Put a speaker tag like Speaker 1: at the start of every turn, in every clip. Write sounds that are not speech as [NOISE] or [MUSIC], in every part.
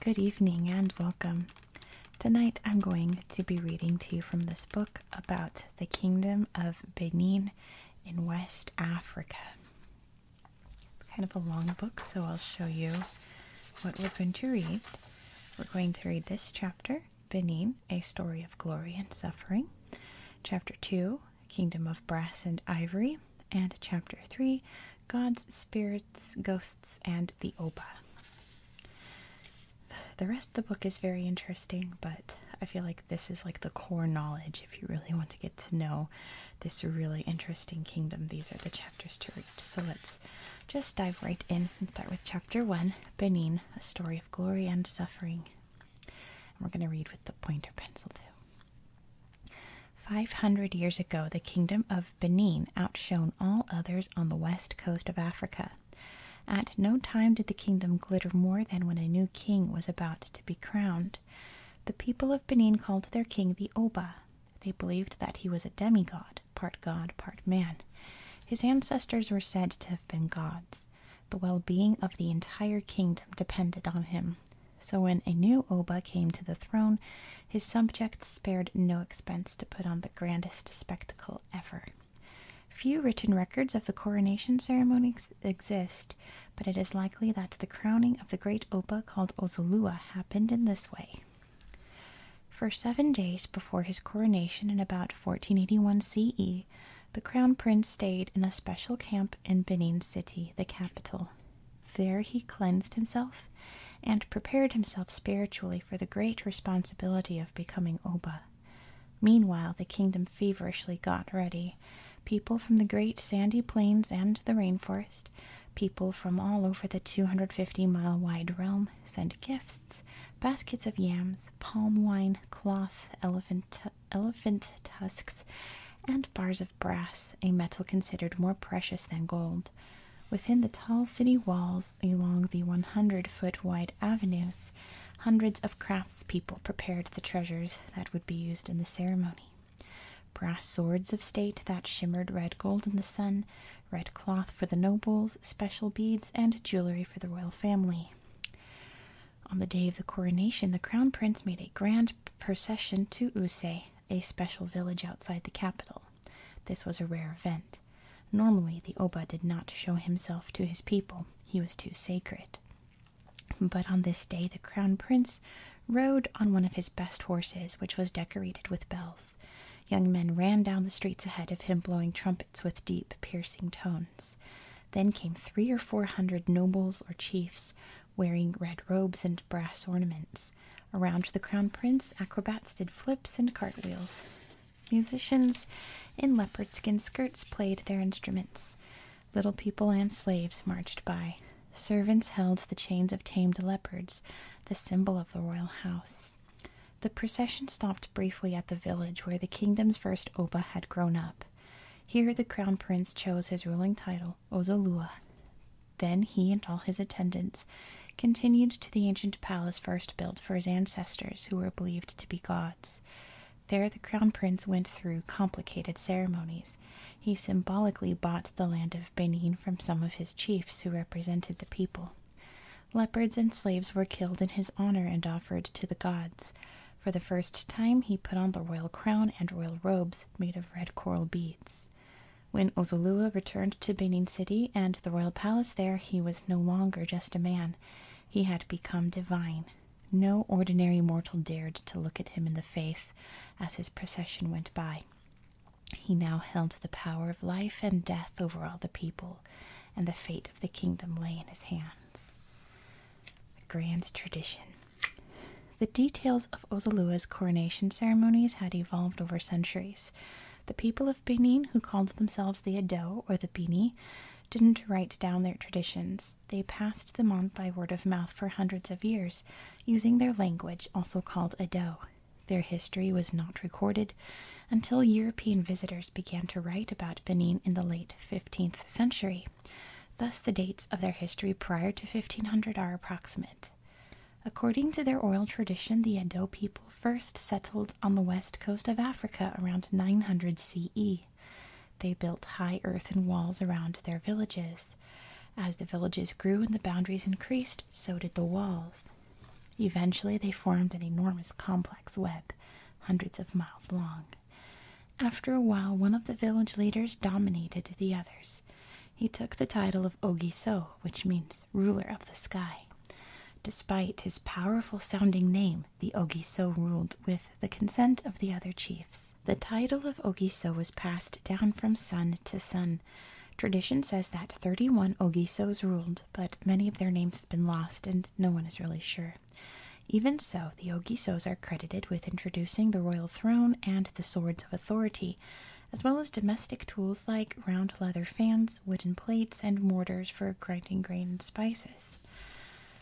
Speaker 1: Good evening and welcome. Tonight I'm going to be reading to you from this book about the Kingdom of Benin in West Africa. kind of a long book, so I'll show you what we're going to read. We're going to read this chapter Benin, A Story of Glory and Suffering, Chapter 2, Kingdom of Brass and Ivory, and Chapter 3, Gods, Spirits, Ghosts, and the Oba. The rest of the book is very interesting, but I feel like this is like the core knowledge if you really want to get to know this really interesting kingdom. These are the chapters to read. So let's just dive right in and start with chapter 1 Benin a story of glory and suffering. we're going to read with the pointer pencil too. 500 years ago, the kingdom of Benin outshone all others on the west coast of Africa. At no time did the kingdom glitter more than when a new king was about to be crowned. The people of Benin called their king the Oba. They believed that he was a demigod part God, part man. His ancestors were said to have been gods. The well being of the entire kingdom depended on him. So when a new Oba came to the throne, his subjects spared no expense to put on the grandest spectacle ever. Few written records of the coronation ceremonies exist, but it is likely that the crowning of the great Oba called Ozolua happened in this way. For seven days before his coronation in about 1481 CE, the crown prince stayed in a special camp in Benin City, the capital. There he cleansed himself and prepared himself spiritually for the great responsibility of becoming Oba. Meanwhile, the kingdom feverishly got ready. People from the great sandy plains and the rainforest, people from all over the 250 mile wide realm, sent gifts baskets of yams, palm wine, cloth, elephant, elephant tusks, and bars of brass, a metal considered more precious than gold. Within the tall city walls, along the 100 foot wide avenues, hundreds of craftspeople prepared the treasures that would be used in the ceremony. Brass swords of state that shimmered red gold in the sun, red cloth for the nobles, special beads, and jewelry for the royal family. On the day of the coronation, the crown prince made a grand procession to Use, a special village outside the capital. This was a rare event. Normally, the Oba did not show himself to his people, he was too sacred. But on this day, the crown prince rode on one of his best horses, which was decorated with bells. Young men ran down the streets ahead of him, blowing trumpets with deep, piercing tones. Then came three or four hundred nobles or chiefs wearing red robes and brass ornaments. Around the crown prince, acrobats did flips and cartwheels. Musicians in leopard skin skirts played their instruments. Little people and slaves marched by. Servants held the chains of tamed leopards, the symbol of the royal house. The procession stopped briefly at the village where the kingdom's first Oba had grown up. Here the crown prince chose his ruling title, Ozolua. Then he and all his attendants continued to the ancient palace first built for his ancestors, who were believed to be gods. There the crown prince went through complicated ceremonies. He symbolically bought the land of Benin from some of his chiefs who represented the people. Leopards and slaves were killed in his honor and offered to the gods. For the first time, he put on the royal crown and royal robes made of red coral beads. When Ozolua returned to Benin City and the royal palace there, he was no longer just a man. He had become divine. No ordinary mortal dared to look at him in the face as his procession went by. He now held the power of life and death over all the people and the fate of the kingdom lay in his hands. The grand tradition. The details of Ozalua's coronation ceremonies had evolved over centuries. The people of Benin, who called themselves the Edo or the Bini, didn't write down their traditions. They passed them on by word of mouth for hundreds of years, using their language, also called Edo. Their history was not recorded, until European visitors began to write about Benin in the late 15th century. Thus, the dates of their history prior to 1500 are approximate. According to their oral tradition, the Edo people first settled on the west coast of Africa around 900 CE. They built high earthen walls around their villages. As the villages grew and the boundaries increased, so did the walls. Eventually, they formed an enormous complex web hundreds of miles long. After a while, one of the village leaders dominated the others. He took the title of Ogiso, which means ruler of the sky. Despite his powerful sounding name, the Ogiso ruled with the consent of the other chiefs. The title of Ogiso was passed down from son to son. Tradition says that 31 Ogisos ruled, but many of their names have been lost and no one is really sure. Even so, the Ogisos are credited with introducing the royal throne and the swords of authority, as well as domestic tools like round leather fans, wooden plates, and mortars for grinding grain and spices.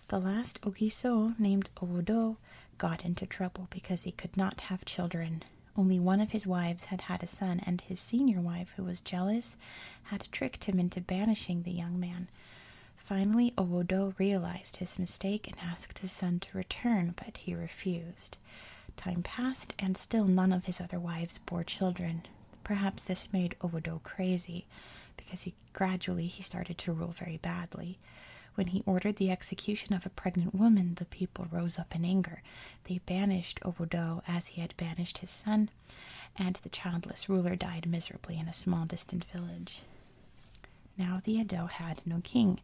Speaker 1: The last Ogiso, named Owodo, got into trouble because he could not have children. Only one of his wives had had a son, and his senior wife, who was jealous, had tricked him into banishing the young man. Finally, Owodo realized his mistake and asked his son to return, but he refused. Time passed, and still none of his other wives bore children. Perhaps this made Owodo crazy, because gradually he started to rule very badly. When he ordered the execution of a pregnant woman, the people rose up in anger. They banished Owodo as he had banished his son, and the childless ruler died miserably in a small distant village. Now the Edo had no king.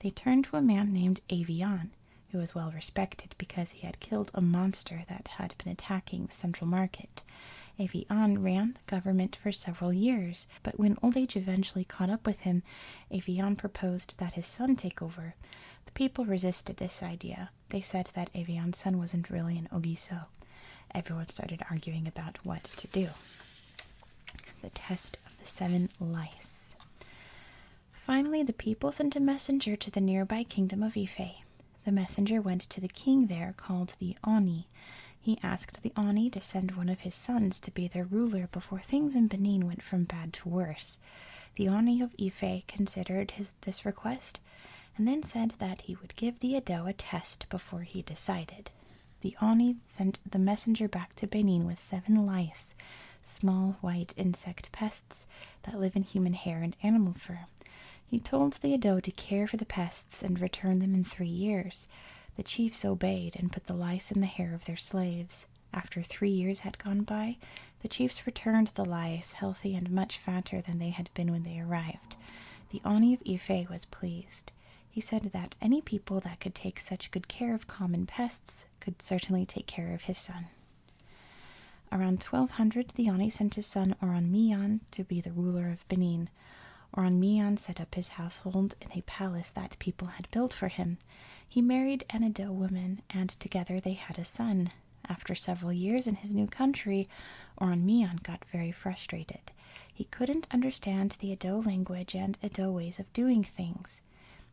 Speaker 1: They turned to a man named Avian, who was well respected because he had killed a monster that had been attacking the central market. Avian ran the government for several years, but when old age eventually caught up with him, Avian proposed that his son take over. The people resisted this idea. They said that Avian's son wasn't really an Ogiso everyone started arguing about what to do. The test of the seven lice. Finally, the people sent a messenger to the nearby kingdom of Ife. The messenger went to the king there, called the Oni. He asked the Oni to send one of his sons to be their ruler before things in Benin went from bad to worse. The Oni of Ife considered this request and then said that he would give the Edo a test before he decided. The Oni sent the messenger back to Benin with seven lice, small white insect pests that live in human hair and animal fur. He told the Edo to care for the pests and return them in three years. The chiefs obeyed and put the lice in the hair of their slaves. After three years had gone by, the chiefs returned the lice healthy and much fatter than they had been when they arrived. The Oni of Ife was pleased. He said that any people that could take such good care of common pests could certainly take care of his son. Around 1200, the Oni sent his son Oranmiyan to be the ruler of Benin. Oranmiyan set up his household in a palace that people had built for him. He married an Edo woman, and together they had a son. After several years in his new country, Oranmiyan got very frustrated. He couldn't understand the Edo language and Edo ways of doing things.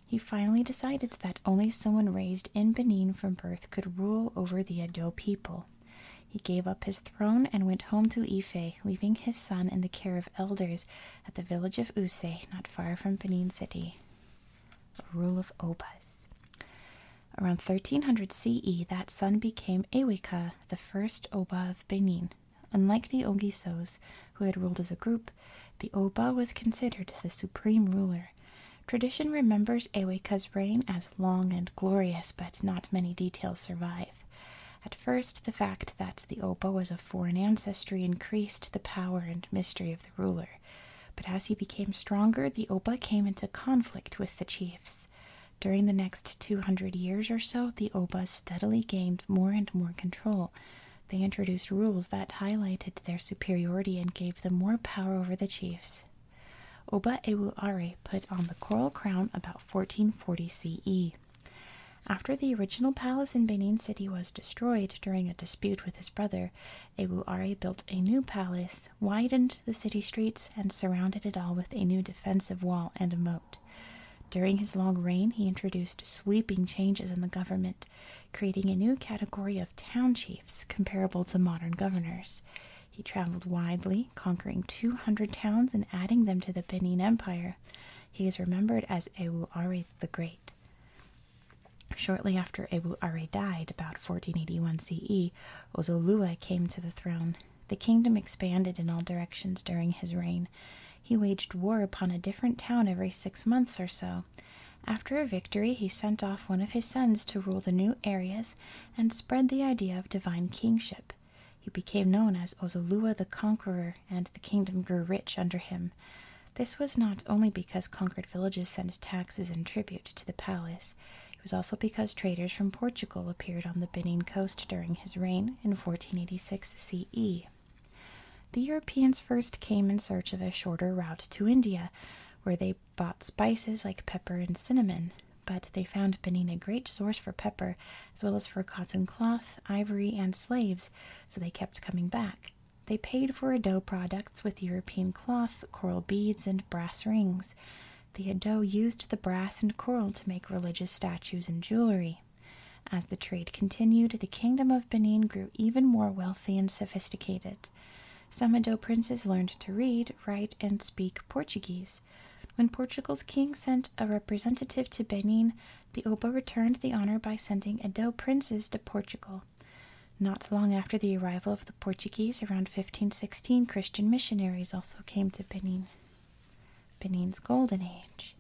Speaker 1: He finally decided that only someone raised in Benin from birth could rule over the Edo people. He gave up his throne and went home to Ife, leaving his son in the care of elders at the village of Use, not far from Benin City. Rule of Obas. Around 1300 CE, that son became Eweka, the first Oba of Benin. Unlike the Ogisos, who had ruled as a group, the Oba was considered the supreme ruler. Tradition remembers Eweka's reign as long and glorious, but not many details survive. At first, the fact that the Oba was of foreign ancestry increased the power and mystery of the ruler. But as he became stronger, the Oba came into conflict with the chiefs. During the next 200 years or so, the Obas steadily gained more and more control. They introduced rules that highlighted their superiority and gave them more power over the chiefs. Oba Ewuare put on the coral crown about 1440 CE. After the original palace in Benin City was destroyed during a dispute with his brother, Ewuare built a new palace, widened the city streets, and surrounded it all with a new defensive wall and moat. During his long reign, he introduced sweeping changes in the government, creating a new category of town chiefs comparable to modern governors. He traveled widely, conquering 200 towns and adding them to the Benin Empire. He is remembered as Ewu Are the Great. Shortly after Ewu Are died, about 1481 CE, Ozolua came to the throne. The kingdom expanded in all directions during his reign. He waged war upon a different town every six months or so. After a victory, he sent off one of his sons to rule the new areas and spread the idea of divine kingship. He became known as Ozolua the Conqueror, and the kingdom grew rich under him. This was not only because conquered villages sent taxes and tribute to the palace, it was also because traders from Portugal appeared on the Benin coast during his reign in 1486 CE. The Europeans first came in search of a shorter route to India, where they bought spices like pepper and cinnamon, but they found Benin a great source for pepper as well as for cotton cloth, ivory, and slaves, so they kept coming back. They paid for Ado products with European cloth, coral beads, and brass rings. The Theodote used the brass and coral to make religious statues and jewelry. As the trade continued, the kingdom of Benin grew even more wealthy and sophisticated. Some Edo princes learned to read, write, and speak Portuguese. When Portugal's king sent a representative to Benin, the Oba returned the honor by sending Edo princes to Portugal. Not long after the arrival of the Portuguese, around 1516, Christian missionaries also came to Benin. Benin's Golden Age.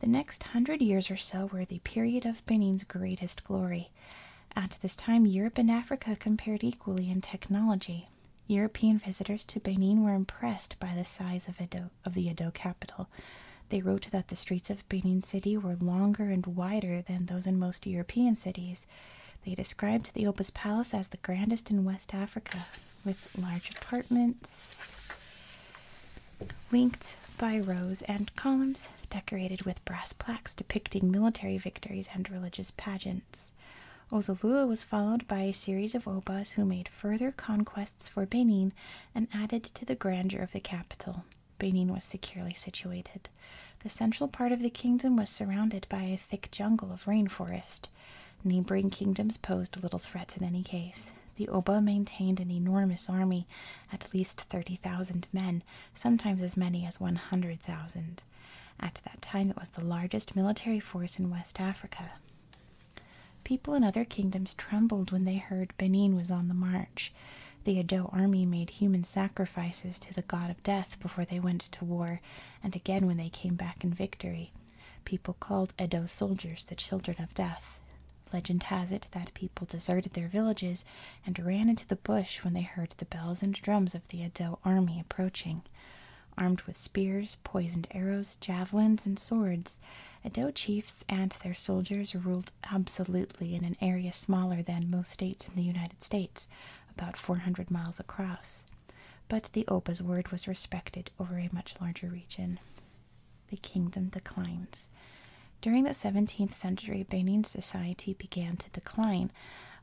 Speaker 1: The next hundred years or so were the period of Benin's greatest glory. At this time, Europe and Africa compared equally in technology. European visitors to Benin were impressed by the size of, the Edo capital. They wrote that the streets of Benin City were longer and wider than those in most European cities. They described the Opus Palace as the grandest in West Africa with large apartments, linked by rows and columns, decorated with brass plaques depicting military victories and religious pageants. Ozolua was followed by a series of obas who made further conquests for Benin and added to the grandeur of the capital. Benin was securely situated. The central part of the kingdom was surrounded by a thick jungle of rainforest. Neighboring kingdoms posed little threat in any case. The Oba maintained an enormous army, at least 30,000 men, sometimes as many as 100,000. At that time, it was the largest military force in West Africa. People in other kingdoms trembled when they heard Benin was on the march. The Edo army made human sacrifices to the god of death before they went to war, and again when they came back in victory. People called Edo soldiers the children of death. Legend has it that people deserted their villages and ran into the bush when they heard the bells and drums of the Edo army approaching. Armed with spears, poisoned arrows, javelins, and swords, Edo chiefs and their soldiers ruled absolutely in an area smaller than most states in the United States, about 400 miles across. But the Oba's word was respected over a much larger region. The kingdom declines. During the 17th century, Benin society began to decline.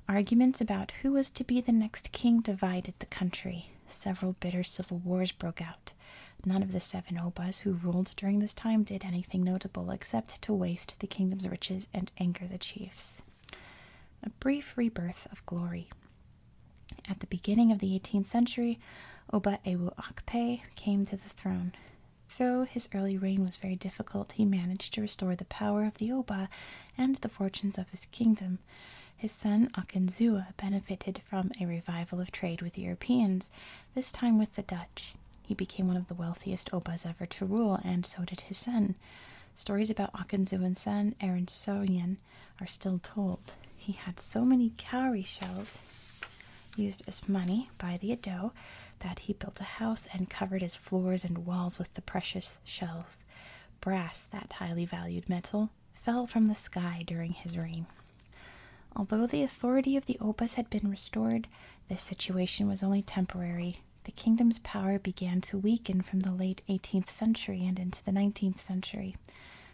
Speaker 1: Arguments about who was to be the next king divided the country. Several bitter civil wars broke out. None of the seven Obas who ruled during this time did anything notable except to waste the kingdom's riches and anger the chiefs. A brief rebirth of glory. At the beginning of the 18th century, Oba Ewu Akpe came to the throne. Though his early reign was very difficult, he managed to restore the power of the Oba and the fortunes of his kingdom. His son Akinzua benefited from a revival of trade with Europeans, this time with the Dutch. He became one of the wealthiest obas ever to rule, and so did his son. Stories about and son, Aaron are still told he had so many cowrie shells used as money by the Edo that he built a house and covered its floors and walls with the precious shells. Brass, that highly valued metal, fell from the sky during his reign. Although the authority of the opus had been restored, the situation was only temporary. The kingdom's power began to weaken from the late 18th century and into the 19th century.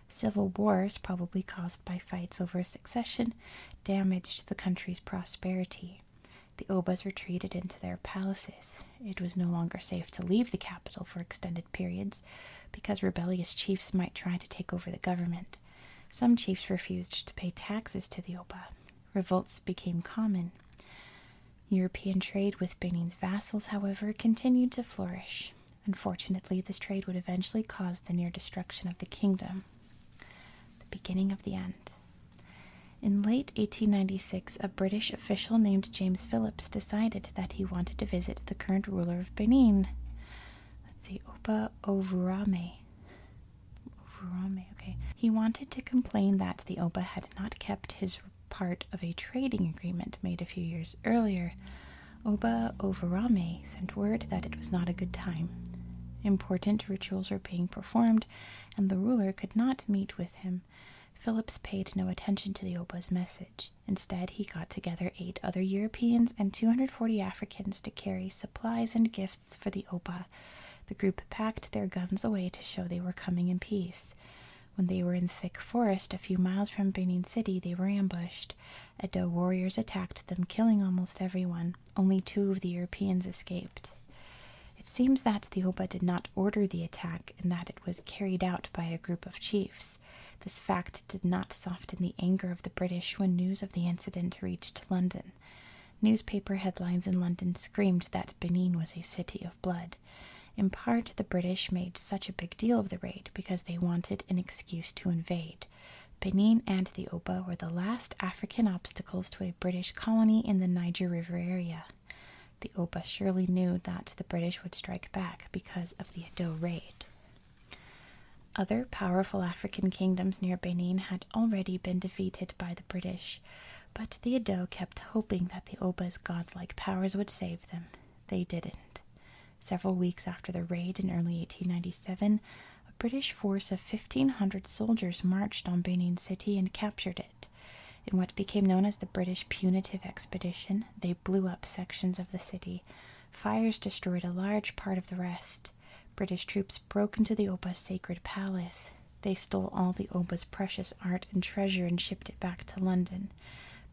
Speaker 1: Civil wars, probably caused by fights over succession, damaged the country's prosperity. The Obas retreated into their palaces. It was no longer safe to leave the capital for extended periods because rebellious chiefs might try to take over the government. Some chiefs refused to pay taxes to the Oba. Revolts became common. European trade with Benin's vassals, however, continued to flourish. Unfortunately, this trade would eventually cause the near destruction of the kingdom. The beginning of the end. In late 1896, a British official named James Phillips decided that he wanted to visit the current ruler of Benin. Let's see, Opa Ovurame. Ovurame, okay. He wanted to complain that the Oba had not kept his part of a trading agreement made a few years earlier, Oba Overame sent word that it was not a good time. Important rituals were being performed, and the ruler could not meet with him. Phillips paid no attention to the Oba's message. Instead, he got together eight other Europeans and 240 Africans to carry supplies and gifts for the Oba. The group packed their guns away to show they were coming in peace. When they were in thick forest a few miles from Benin City, they were ambushed. Edo warriors attacked them, killing almost everyone. Only two of the Europeans escaped. It seems that the Oba did not order the attack and that it was carried out by a group of chiefs. This fact did not soften the anger of the British when news of the incident reached London. Newspaper headlines in London screamed that Benin was a city of blood. In part, the British made such a big deal of the raid because they wanted an excuse to invade. Benin and the Oba were the last African obstacles to a British colony in the Niger River area. The Oba surely knew that the British would strike back because of the Edo raid. Other powerful African kingdoms near Benin had already been defeated by the British, but the Edo kept hoping that the Oba's godlike powers would save them. They didn't. Several weeks after the raid in early 1897, a British force of 1,500 soldiers marched on Benin City and captured it. In what became known as the British Punitive Expedition, they blew up sections of the city. Fires destroyed a large part of the rest. British troops broke into the Oba's sacred palace. They stole all the Oba's precious art and treasure and shipped it back to London.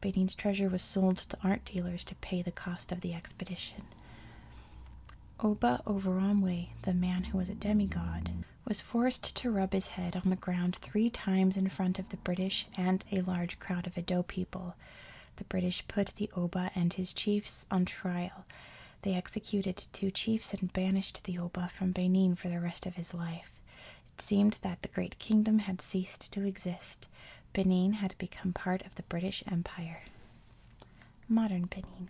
Speaker 1: Benin's treasure was sold to art dealers to pay the cost of the expedition. Oba Overamwe, the man who was a demigod, was forced to rub his head on the ground three times in front of the British and a large crowd of Ado people. The British put the Oba and his chiefs on trial. They executed two chiefs and banished the Oba from Benin for the rest of his life. It seemed that the great kingdom had ceased to exist. Benin had become part of the British Empire. Modern Benin.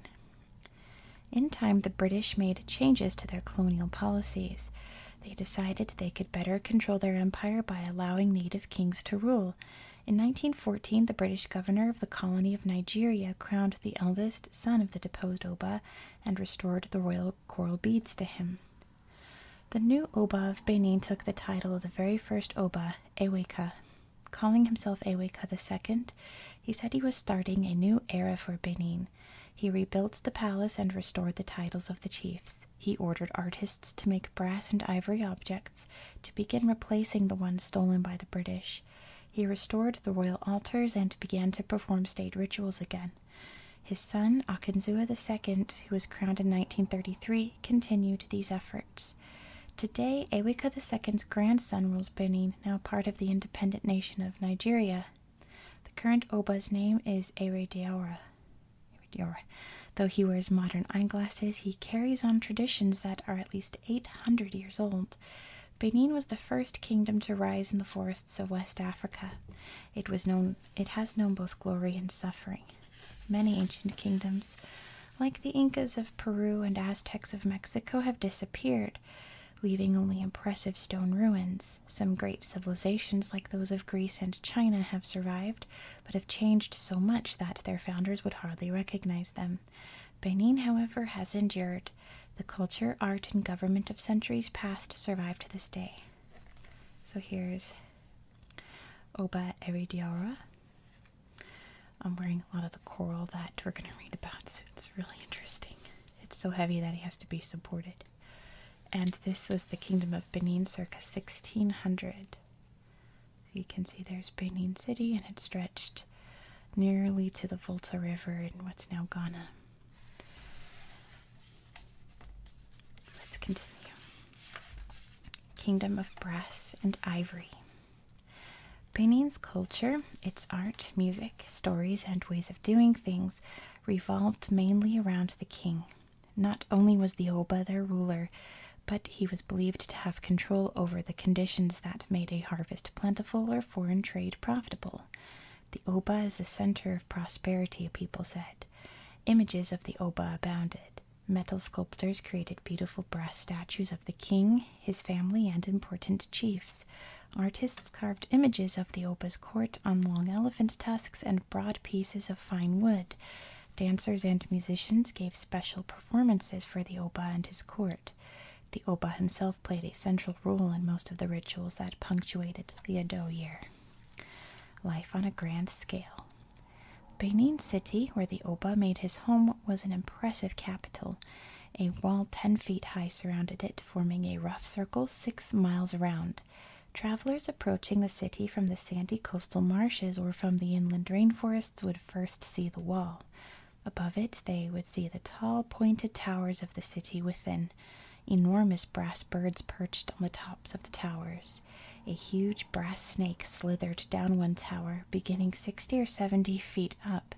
Speaker 1: In time, the British made changes to their colonial policies. They decided they could better control their empire by allowing native kings to rule. In 1914, the British governor of the colony of Nigeria crowned the eldest son of the deposed Oba and restored the royal coral beads to him. The new Oba of Benin took the title of the very first Oba, Eweka. Calling himself Eweka II, he said he was starting a new era for Benin. He rebuilt the palace and restored the titles of the chiefs. He ordered artists to make brass and ivory objects to begin replacing the ones stolen by the British. He restored the royal altars and began to perform state rituals again. His son, Akinzua II, who was crowned in 1933, continued these efforts. Today, Eweka II's grandson rules Benin, now part of the independent nation of Nigeria. The current Oba's name is Ere Diawara. Though he wears modern eyeglasses, he carries on traditions that are at least 800 years old. Benin was the first kingdom to rise in the forests of West Africa. It was known it has known both glory and suffering. Many ancient kingdoms, like the Incas of Peru and Aztecs of Mexico, have disappeared, leaving only impressive stone ruins. Some great civilizations, like those of Greece and China, have survived, but have changed so much that their founders would hardly recognize them. Benin, however, has endured. The culture, art, and government of centuries past survive to this day. So here's Oba Eridiara. I'm wearing a lot of the coral that we're going to read about, so it's really interesting. It's so heavy that he has to be supported. And this was the Kingdom of Benin circa 1600. So you can see there's Benin City, and it stretched nearly to the Volta River in what's now Ghana. Let's continue. Kingdom of Brass and Ivory. Benin's culture, its art, music, stories, and ways of doing things revolved mainly around the king. Not only was the Oba their ruler, but he was believed to have control over the conditions that made a harvest plentiful or foreign trade profitable. The Oba is the center of prosperity, people said. Images of the Oba abounded. Metal sculptors created beautiful brass statues of the king, his family, and important chiefs. Artists carved images of the Oba's court on long elephant tusks and broad pieces of fine wood. Dancers and musicians gave special performances for the Oba and his court. The Oba himself played a central role in most of the rituals that punctuated the Edo year. Life on a grand scale. Benin City, where the Oba made his home, was an impressive capital. A wall 10 feet high surrounded it, forming a rough circle six miles around. Travelers approaching the city from the sandy coastal marshes or from the inland rainforests would first see the wall. Above it, they would see the tall, pointed towers of the city within, enormous brass birds perched on the tops of the towers. A huge brass snake slithered down one tower, beginning sixty or seventy feet up.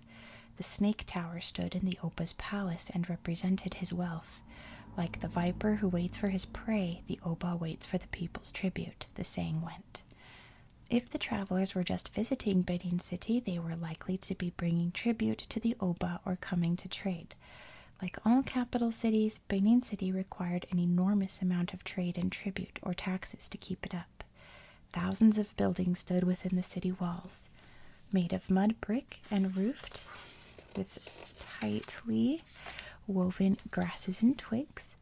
Speaker 1: The snake tower stood in the oba's palace and represented his wealth. Like the viper who waits for his prey, the oba waits for the people's tribute, the saying went. If the travelers were just visiting Benin City, they were likely to be bringing tribute to the Oba or coming to trade. Like all capital cities, Benin City required an enormous amount of trade and tribute or taxes to keep it up. Thousands of buildings stood within the city walls, made of mud brick and roofed with tightly woven grasses and twigs.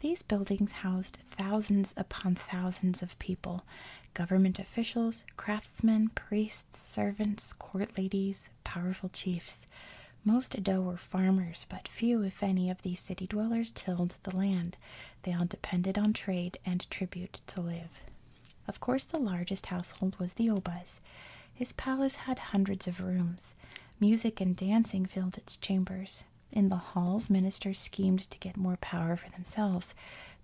Speaker 1: These buildings housed thousands upon thousands of people government officials, craftsmen, priests, servants, court ladies, powerful chiefs crops. Most Edo were farmers, but few, if any, of these city dwellers tilled the land. They all depended on trade and tribute to live. Of course, the largest household was the Oba's. His palace had hundreds of rooms. Music and dancing filled its chambers. In the halls, ministers schemed to get more power for themselves.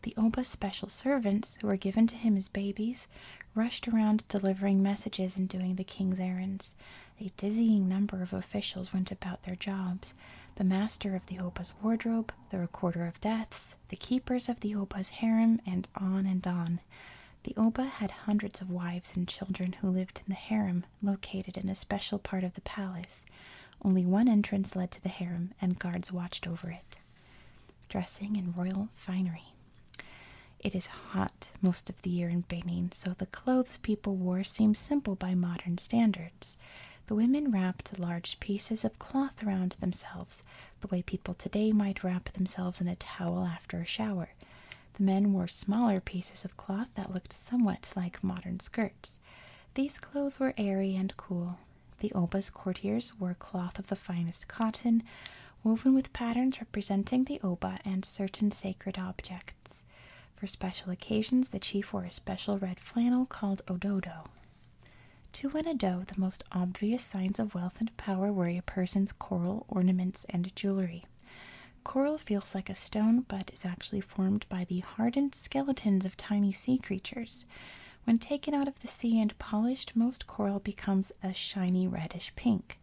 Speaker 1: The Oba's special servants, who were given to him as babies, rushed around delivering messages and doing the king's errands. A dizzying number of officials went about their jobs the master of the oba's wardrobe, the recorder of deaths, the keepers of the oba's harem, and on and on. The Oba had hundreds of wives and children who lived in the harem, located in a special part of the palace. Only one entrance led to the harem, and guards watched over it. Dressing in royal finery. It is hot most of the year in Benin, so the clothes people wore seemed simple by modern standards. The women wrapped large pieces of cloth around themselves, the way people today might wrap themselves in a towel after a shower. The men wore smaller pieces of cloth that looked somewhat like modern skirts. These clothes were airy and cool. The Oba's courtiers wore cloth of the finest cotton, woven with patterns representing the Oba and certain sacred objects. For special occasions, the chief wore a special red flannel called ododo. To win a Ado, the most obvious signs of wealth and power were a person's coral ornaments and jewelry. Coral feels like a stone, but is actually formed by the hardened skeletons of tiny sea creatures. When taken out of the sea and polished, most coral becomes a shiny reddish pink.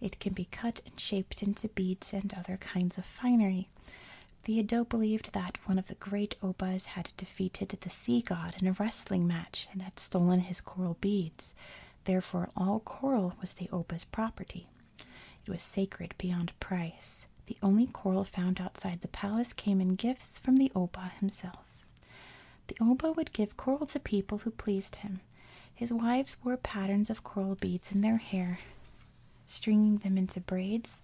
Speaker 1: It can be cut and shaped into beads and other kinds of finery. Theodo believed that one of the great Obas had defeated the sea god in a wrestling match and had stolen his coral beads. Therefore, all coral was the Oba's property. It was sacred beyond price. The only coral found outside the palace came in gifts from the Oba himself. The Oba would give coral to people who pleased him. His wives wore patterns of coral beads in their hair stringing them into braids,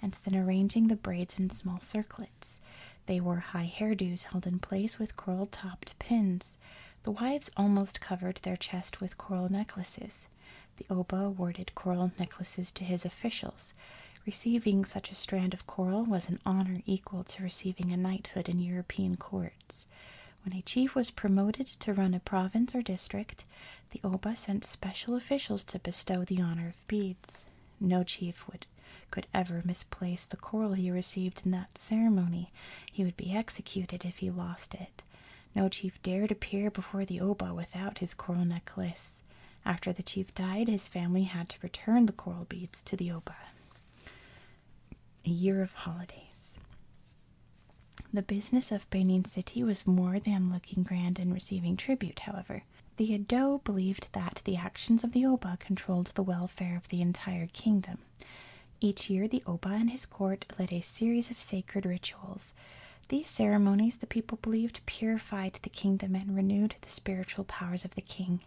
Speaker 1: and then arranging the braids in small circlets. They wore high hairdos held in place with coral topped pins. The wives almost covered their chests with coral necklaces. The Oba awarded coral necklaces to his officials. Receiving such a strand of coral was an honor equal to receiving a knighthood in European courts. When a chief was promoted to run a province or district, the Oba sent special officials to bestow the honor of beads. No chief would could ever misplace the coral he received in that ceremony. He would be executed if he lost it. No chief dared appear before the Oba without his coral necklace. After the chief died, his family had to return the coral beads to the Oba. A year of holidays. The business of Benin City was more than looking grand and receiving tribute, however. The Edo believed that the actions of the Oba controlled the welfare of the entire kingdom. Each year, the Oba and his court led a series of sacred rituals. These ceremonies, the people believed, purified the kingdom and renewed the spiritual powers of the king.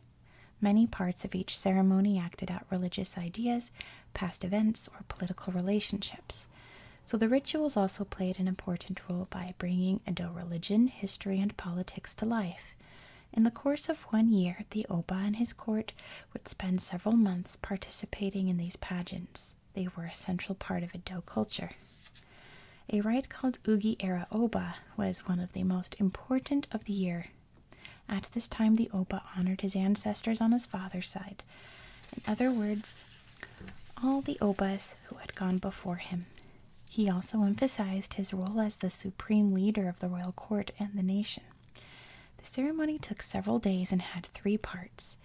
Speaker 1: Many parts of each ceremony acted out religious ideas, past events, or political relationships. So the rituals also played an important role by bringing Edo religion, history, and politics to life. In the course of one year, the Oba and his court would spend several months participating in these pageants. They were a central part of Edo culture. A rite called Ugi Era Oba was one of the most important of the year. At this time, the Oba honored his ancestors on his father's side. In other words, all the obas who had gone before him. He also emphasized his role as the supreme leader of the royal court and the nation. The ceremony took several days and had three parts.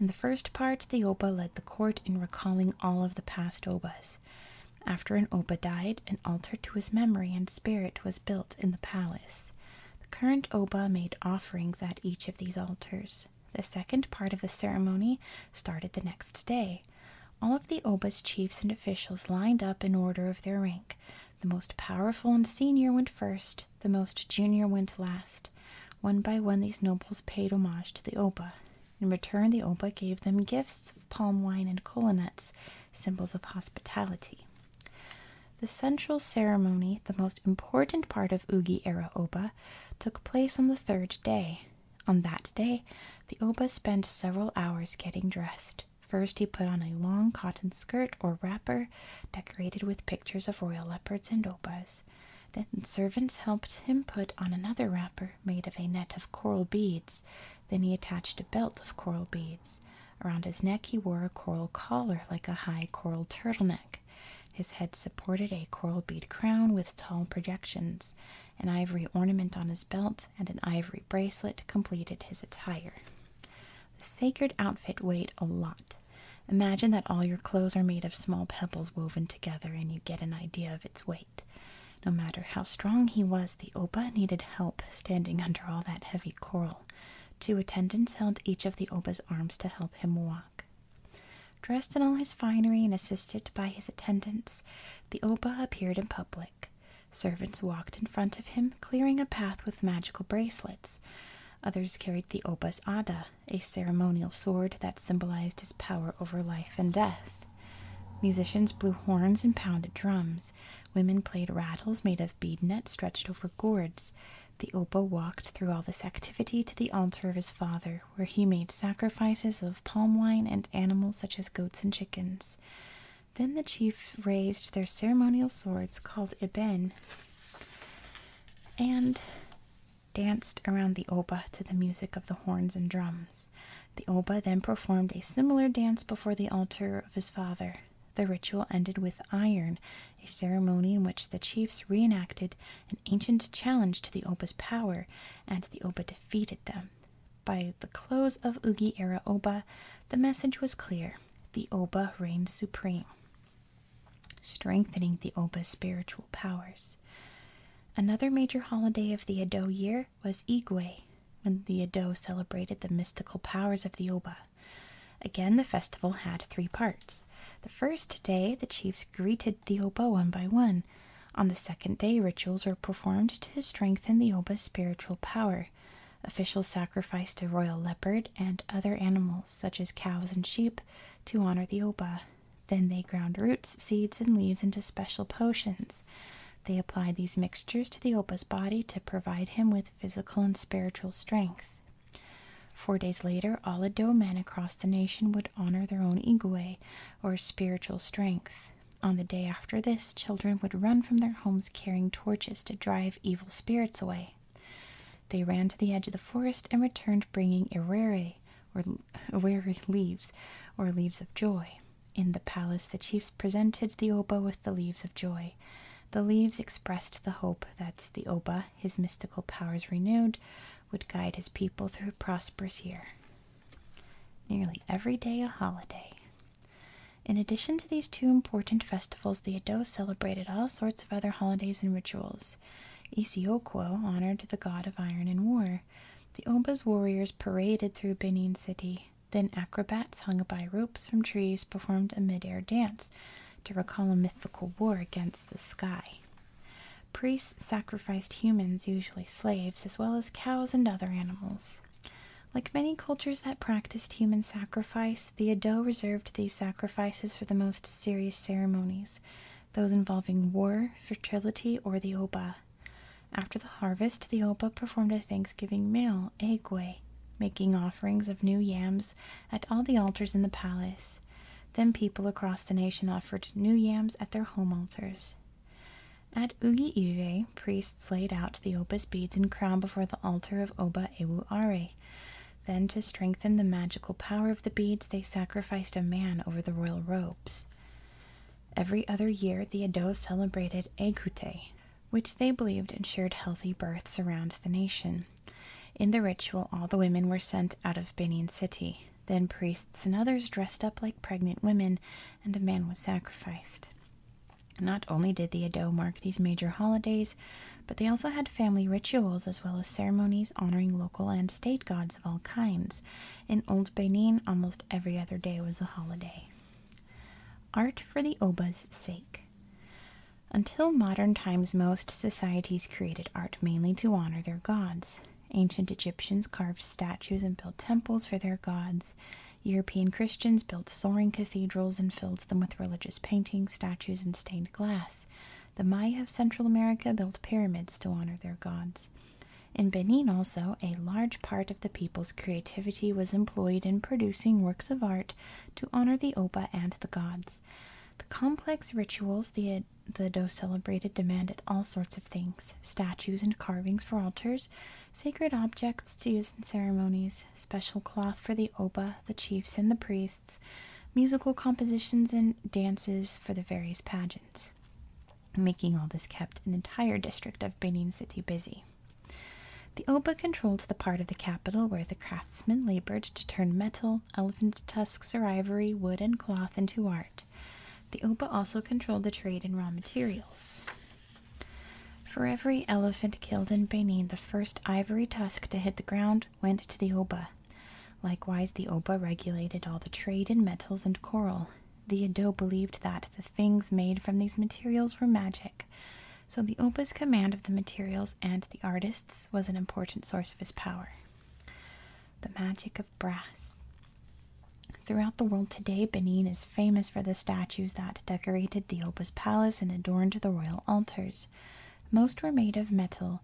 Speaker 1: In the first part, the oba led the court in recalling all of the past obas. After an oba died, an altar to his memory and spirit was built in the palace. The current oba made offerings at each of these altars. The second part of the ceremony started the next day. All of the Oba's chiefs and officials lined up in order of their rank. The most powerful and senior went first, the most junior went last. One by one, these nobles paid homage to the Oba. In return, the Oba gave them gifts of palm wine and kola nuts, symbols of hospitality. The central ceremony, the most important part of Ugi era Oba, took place on the third day. On that day, the Oba spent several hours getting dressed. First, he put on a long cotton skirt or wrapper decorated with pictures of royal leopards and obas. Then, servants helped him put on another wrapper made of a net of coral beads. Then, he attached a belt of coral beads. Around his neck, he wore a coral collar like a high coral turtleneck. His head supported a coral bead crown with tall projections. An ivory ornament on his belt and an ivory bracelet completed his attire. The sacred outfit weighed a lot. Imagine that all your clothes are made of small pebbles woven together, and you get an idea of its weight. No matter how strong he was, the Oba needed help standing [LAUGHS] under all that heavy coral. Two attendants held each of the Oba's arms to help him walk. Knock. Dressed in all his finery and assisted by his attendants, the Oba appeared in public. Servants walked in front of him, clearing a path with magical bracelets. Others carried the Oba's Ada, a ceremonial sword that symbolized his power over life and death. Musicians blew horns and pounded drums. Women played rattles made of bead net stretched over gourds. The Opa walked through all this activity to the altar of his father, where he made sacrifices of palm wine and animals such as goats and chickens. Then the chiefs raised their ceremonial swords called Iben and danced around the Oba to the music of the horns and drums. The Oba then performed a similar dance before the altar of his father. The ritual ended with iron a ceremony in which the chiefs reenacted an ancient challenge to the Oba's power, and the Oba defeated them. By the close of Ugi era Oba, the message was clear the Oba reigned supreme, strengthening the Oba's spiritual powers. Another major holiday of the Edo year was Igwe, when the Edo celebrated the mystical powers of the Oba. Again, the festival had three parts. The first day, the chiefs greeted the oba one by one. On the second day, rituals were performed to strengthen the oba's spiritual power. Officials sacrificed a royal leopard and other animals, such as cows and sheep, to honor the oba. Then they ground roots, seeds, and leaves into special potions. They applied these mixtures to the oba's body to provide him with physical and spiritual strength. Four days later, all Ado men across the nation would honor their own igwe, or spiritual strength. On the day after this, children would run from their homes carrying torches to drive evil spirits away. They ran to the edge of the forest and returned bringing irere, or wary leaves, or leaves of joy. In the palace, the chiefs presented the oba with the leaves of joy. The leaves expressed the hope that the oba, his mystical powers renewed, would guide his people through a prosperous year. Nearly every day a holiday. In addition to these two important festivals, the Ados celebrated all sorts of other holidays and rituals. Isioquo honored the god of iron and war. The Ombas warriors paraded through Benin City. Then acrobats hung by ropes from trees performed a mid-air dance to recall a mythical war against the sky. Priests sacrificed humans, usually slaves, as well as cows and other animals. Like many cultures that practiced human sacrifice, the Edo reserved these sacrifices for the most serious ceremonies, those involving war, fertility, or the oba. After the harvest, the oba performed a Thanksgiving meal, egwe, making offerings of new yams at all the altars in the palace. Then people across the nation offered new yams at their home altars. At Ugi Iwe, priests laid out the opus beads and crown before the altar of Oba Ewuare. Then, to strengthen the magical power of the beads, they sacrificed a man over the royal robes. Every other year, the Edo celebrated Ekute, which they believed ensured healthy births around the nation. In the ritual, all the women were sent out of Benin City. Then priests and others dressed up like pregnant women, and a man was sacrificed. Not only did the Edo mark these major holidays, but they also had family rituals as well as ceremonies honoring local and state gods of all kinds. In Old Benin, almost every other day was a holiday. Art for the Oba's sake. Until modern times, most societies created art mainly to honor their gods. Ancient Egyptians carved statues and built temples for their gods. European Christians built soaring cathedrals and filled them with religious paintings, statues, and stained glass. The Maya of Central America built pyramids to honor their gods. In Benin, also, a large part of the people's creativity was employed in producing works of art to honor the Oba and the gods. The complex rituals the the Doe celebrated demanded all sorts of things statues and carvings for altars, sacred objects to use in ceremonies, special cloth for the Oba, the chiefs, and the priests, musical compositions and dances for the various pageants. Making all this kept an entire district of Benin City busy. The Oba controlled the part of the capital where the craftsmen labored to turn metal elephant tusks or ivory, wood, and cloth into art. The Oba also controlled the trade in raw materials. For every elephant killed in Benin, the first ivory tusk to hit the ground went to the Oba. Likewise, the Oba regulated all the trade in metals and coral. The Edo believed that the things made from these materials were magic, so the Oba's command of the materials and the artists was an important source of his power. The magic of brass. Throughout the world today, Benin is famous for the statues that decorated the Oba's palace and adorned the royal altars. Most were made of metal,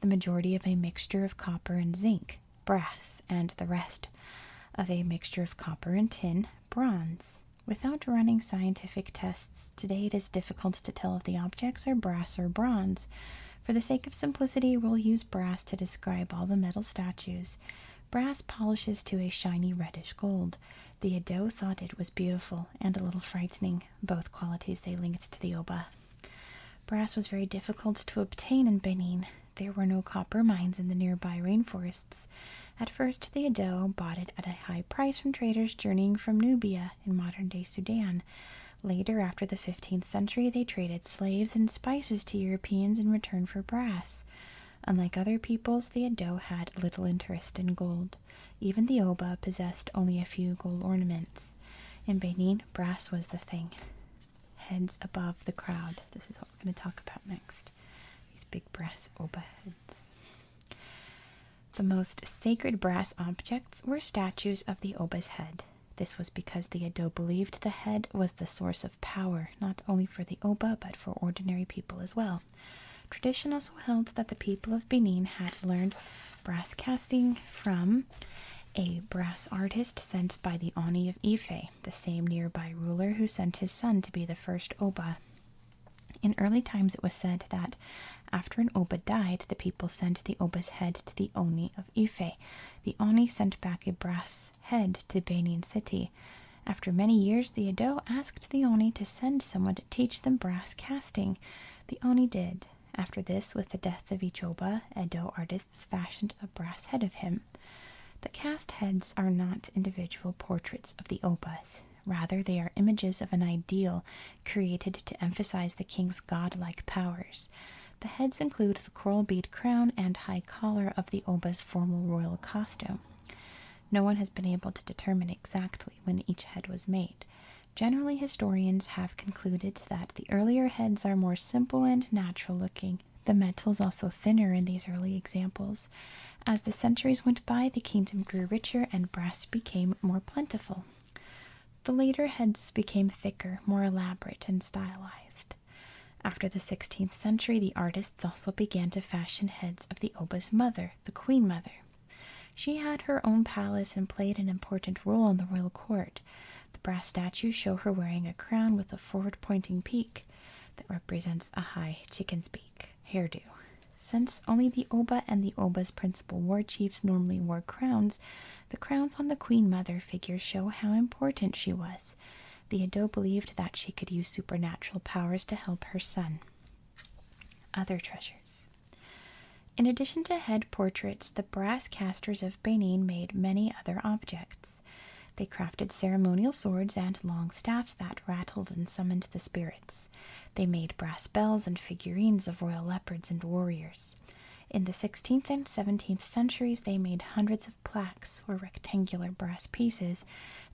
Speaker 1: the majority of a mixture of copper and zinc, brass, and the rest of a mixture of copper and tin, bronze. Without running scientific tests, today it is difficult to tell if the objects are brass or bronze, for the sake of simplicity, we'll use brass to describe all the metal statues. Brass polishes to a shiny reddish gold. The Edo thought it was beautiful and a little frightening, both qualities they linked to the Oba. Brass was very difficult to obtain in Benin. There were no copper mines in the nearby rainforests. At first, the Edo bought it at a high price from traders journeying from Nubia in modern day Sudan. Later, after the 15th century, they traded slaves and spices to Europeans in return for brass. Unlike other peoples, the Edo had little interest in gold. Even the Oba possessed only a few gold ornaments. In Benin, brass was the thing. Heads above the crowd. This is what we're going to talk about next. These big brass Oba heads. The most sacred brass objects were statues of the Oba's head. This was because the Edo believed the head was the source of power, not only for the Oba but for ordinary people as well. Tradition also held that the people of Benin had learned brass casting from a brass artist sent by the Oni of Ife, the same nearby ruler who sent his son to be the first Oba. In early times, it was said that after an Oba died, the people sent the Oba's head to the Oni of. Ife, the Oni sent back a brass head to Benin City. After many years, the Edo asked the Oni to send someone to teach them brass casting. The Oni did. After this, with the death of Ichoba, Edo artists fashioned a brass head of him. The cast heads are not individual portraits of the Obas. Rather, they are images of an ideal created to emphasize the king's godlike powers. The heads include the coral bead crown and high collar of the Oba's formal royal costume. No one has been able to determine exactly when each head was made. Generally, historians have concluded that the earlier heads are more simple and natural looking. The metals also thinner in these early examples. As the centuries went by, the kingdom grew richer and brass became more plentiful. The later heads became thicker, more elaborate, and stylized. After the 16th century, the artists also began to fashion heads of the Oba's mother, the Queen Mother. She had her own palace and played an important role on the royal court. The brass statues show her wearing a crown with a forward pointing peak that represents a high chicken's beak hairdo. Since only the Oba and the Oba's principal war chiefs normally wore crowns, the crowns on the Queen Mother figures show how important she was. Theodo believed that she could use supernatural powers to help her son. Other treasures. In addition to head portraits, the brass casters of Benin made many other objects. They crafted ceremonial swords and long staffs that rattled and summoned the spirits. They made brass bells and figurines of royal leopards and warriors. In the 16th and 17th centuries, they made hundreds of plaques or rectangular brass pieces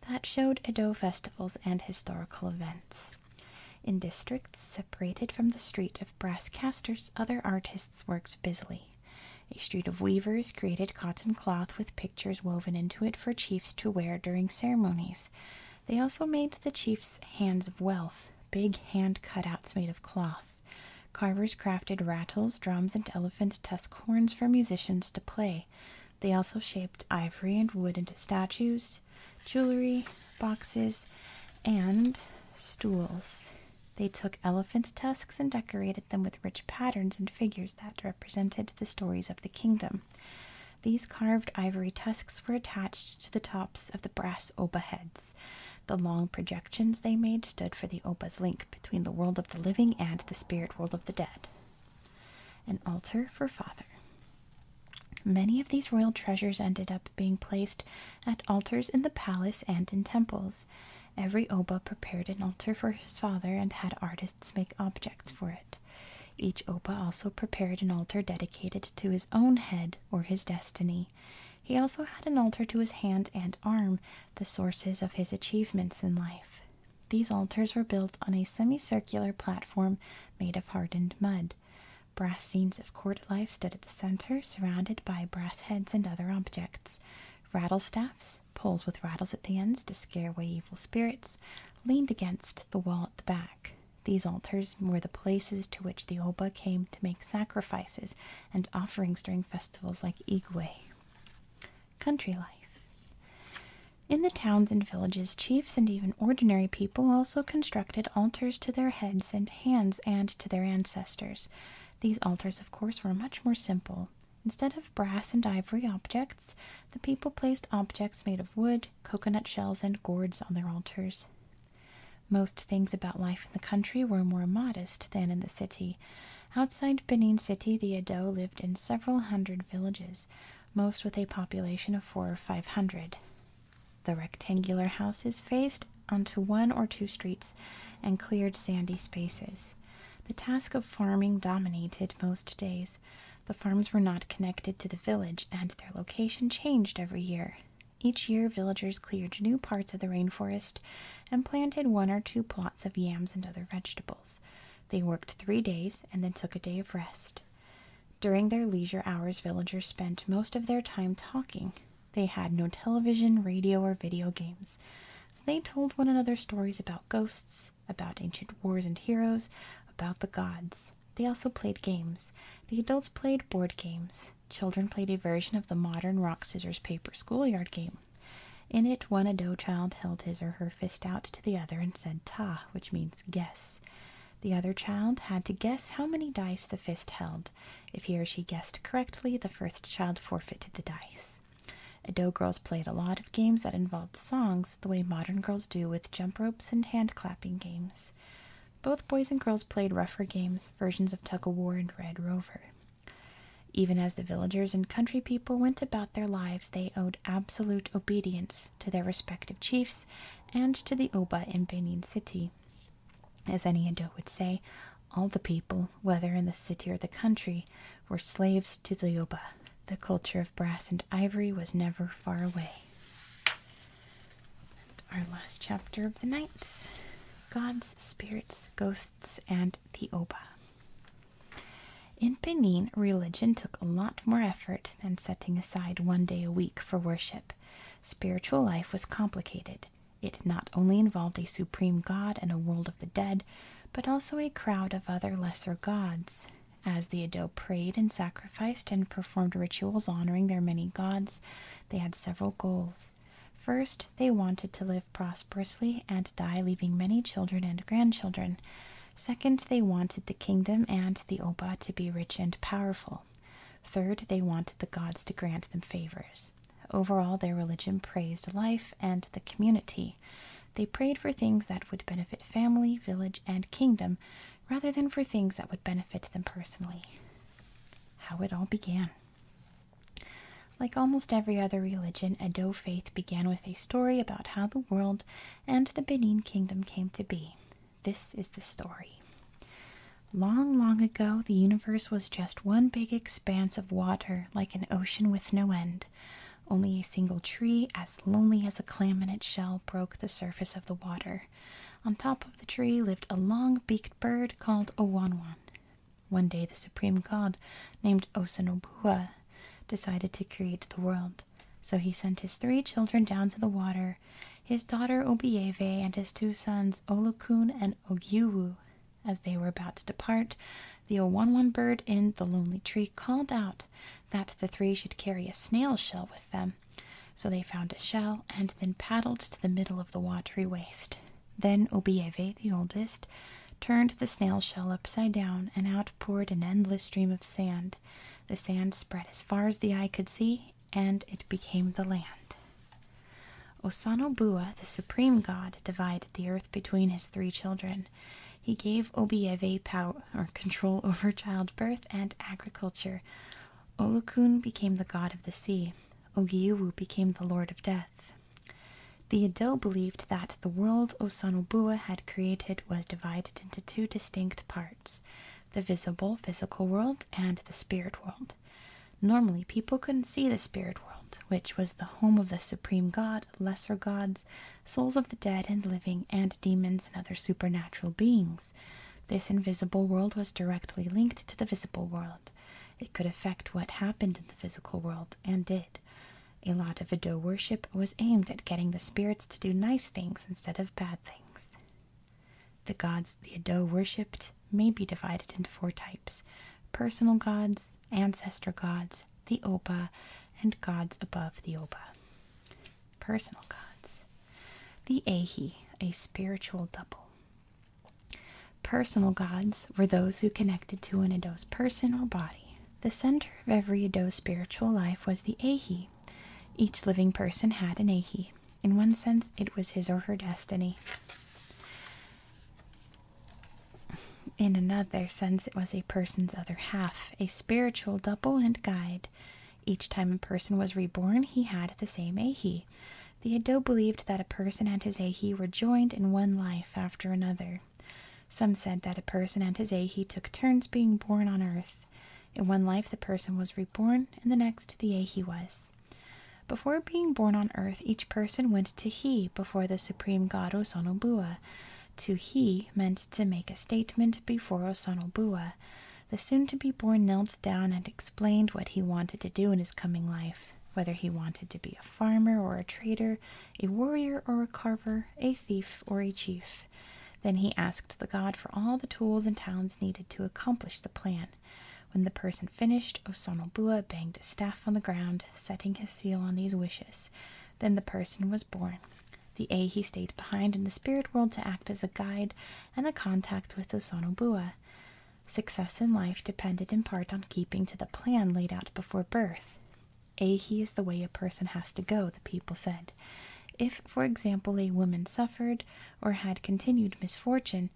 Speaker 1: that showed Edo festivals and historical events. In districts separated from the street of brass casters, other artists worked busily. A street of weavers created cotton cloth with pictures woven into it for chiefs to wear during ceremonies. They also made the chiefs hands of wealth, big hand cutouts made of cloth. Carvers crafted rattles, drums, and elephant tusk horns for musicians to play. They also shaped ivory and wood into statues, jewelry, boxes, and stools. They took elephant tusks and decorated them with rich patterns and figures that represented the stories of the kingdom. These carved ivory tusks were attached to the tops of the brass oba heads. The long projections they made stood for the oba's link between the world of the living and the spirit world of the dead. An altar for Father. Many of these royal treasures ended up being placed at altars in the palace and in temples. Every Oba prepared an altar for his father and had artists make objects for it. Each Oba also prepared an altar dedicated to his own head or his destiny. He also had an altar to his hand and arm, the sources of his achievements in life. These altars were built on a semicircular platform made of hardened mud. Brass scenes of court life stood at the center, surrounded by brass heads and other objects. Rattlestaffs, poles with rattles at the ends to scare away evil spirits, leaned against the wall at the back. These altars were the places to which the Oba came to make sacrifices and offerings during festivals like Igwe. Country life. In the towns and villages, chiefs and even ordinary people also constructed altars to their heads and hands and to their ancestors. These altars, of course, were much more simple. Instead of brass and ivory objects, the people placed objects made of wood, coconut shells, and gourds on their altars. Most things about life in the country were more modest than in the city. Outside Benin City, the Edo lived in several hundred villages, most with a population of four or five hundred. The rectangular houses faced onto one or two streets and cleared sandy spaces. The task of farming dominated most days. The farms were not connected to the village, and their location changed every year. Each year, villagers cleared new parts of the rainforest and planted one or two plots of yams and other vegetables. They worked three days and then took a day of rest. During their leisure hours, villagers spent most of their time talking. They had no television, radio, or video games. So they told one another stories about ghosts, about ancient wars and heroes, about the gods. They also played games. The adults played board games. Children played a version of the modern rock, scissors, paper schoolyard game. In it, one Ado child held his or her fist out to the other and said ta, which means guess. The other child had to guess how many dice the fist held. If he or she guessed correctly, the first child forfeited the dice. Ado girls played a lot of games that involved songs, the way modern girls do with jump ropes and hand clapping games. Both boys and girls played rougher games, versions of tug of war and Red Rover. Even as the villagers and country people went about their lives, they owed absolute obedience to their respective chiefs and to the Oba in Benin City. As any Indo would say, all the people, whether in the city or the country, were slaves to the Oba. The culture of brass and ivory was never far away. our last chapter of the nights, Gods, spirits, ghosts, and the Oba. In Benin, religion took a lot more effort than setting aside one day a week for worship. Spiritual life was complicated. It not only involved a supreme god and a world of the dead, but also a crowd of other lesser gods. As the Edo prayed and sacrificed and performed rituals honoring their many gods, they had several goals. First, they wanted to live prosperously and die leaving many children and grandchildren. Second, they wanted the kingdom and the Oba to be rich and powerful. Third, they wanted the gods to grant them favors. Overall, their religion praised life and the community. They prayed for things that would benefit family, village, and kingdom rather than for things that would benefit them personally. How it all began. Like almost every other religion, Edo faith began with a story about how the world and the Benin Kingdom came to be. This is the story. Long, long ago, the universe was just one big expanse of water, like an ocean with no end. Only a single tree, as lonely as a clam in its shell, broke the surface of the water. On top of the tree lived a long beaked bird called Owanwan. One day, the supreme god, named Osanobua, decided to create the world. So he sent his three children down to the water, his daughter Obieve and his two sons Olukun and Ogiwu. As they were about to depart, the Owanwan bird in the lonely tree called out that the three should carry a snail shell with them. So they found a shell and then paddled to the middle of the watery waste. Then Obieve, the oldest, turned the snail shell upside down, and out poured an endless stream of sand. The sand spread as far as the eye could see, and it became the land. Osanobua, the supreme god, divided the earth between his three children. He gave Obieve pout, or control over childbirth and agriculture. Olukun became the god of the sea. Ogiuwu became the lord of death. The Edo believed that the world Osanobua had created was divided into two distinct parts the visible physical world and the spirit world. Normally, people couldn't see the spirit world, which was the home of the supreme god, lesser gods, souls of the dead and living, and demons and other supernatural beings. This invisible world was directly linked to the visible world. It could affect what happened in the physical world and did. A lot of Ido worship was aimed at getting the spirits to do nice things instead of bad things. The gods the Ido worshipped may be divided into four types personal gods, ancestor gods, the Oba, and gods above the Oba. Personal gods. The Ahi, a spiritual double. Personal gods were those who connected to an Edo's person or body. The center of every Edo's spiritual life was the Ahi. Each living person had an Ahi. In one sense, it was his or her destiny. In another sense, it was a person's other half, a spiritual double and guide. Each time a person was reborn, he had the same Ahi. The Edo believed that a person and his Ahi were joined in one life after another. Some said that a person and his ahi took turns being born on earth. In one life, the person was reborn, and the next, the ahi was. Before being born on earth, each person went to He before the supreme god Osanobua. To He meant to make a statement before Osanobua. The soon to be born knelt down and explained what he wanted to do in his coming life whether he wanted to be a farmer or a trader, a warrior or a carver, a thief or a chief. Then he asked the god for all the tools and talents needed to accomplish the plan. When the person finished, Osanobua banged a staff on the ground, setting his seal on these wishes. Then the person was born. The a he stayed behind in the spirit world to act as a guide and a contact with Osanobua. Success in life depended in part on keeping to the plan laid out before birth. Ahi is the way a person has to go, the people said. If, for example, a woman suffered or had continued misfortune,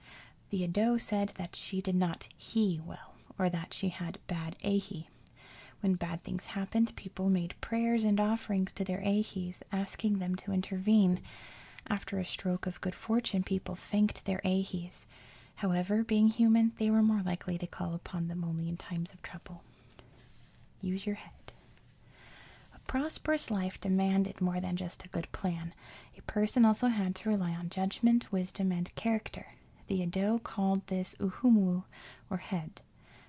Speaker 1: the Ado said that she did not he well, or that she had bad ahi. When bad things happened, people made prayers and offerings to their ahis, asking them to intervene. After a stroke of good fortune, people thanked their ahis. However, being human, they were more likely to call upon them only in times of trouble. Use your head. A prosperous life demanded more than just a good plan. A person also had to rely on judgment, wisdom, and character. The Edo called this uhumu, or head.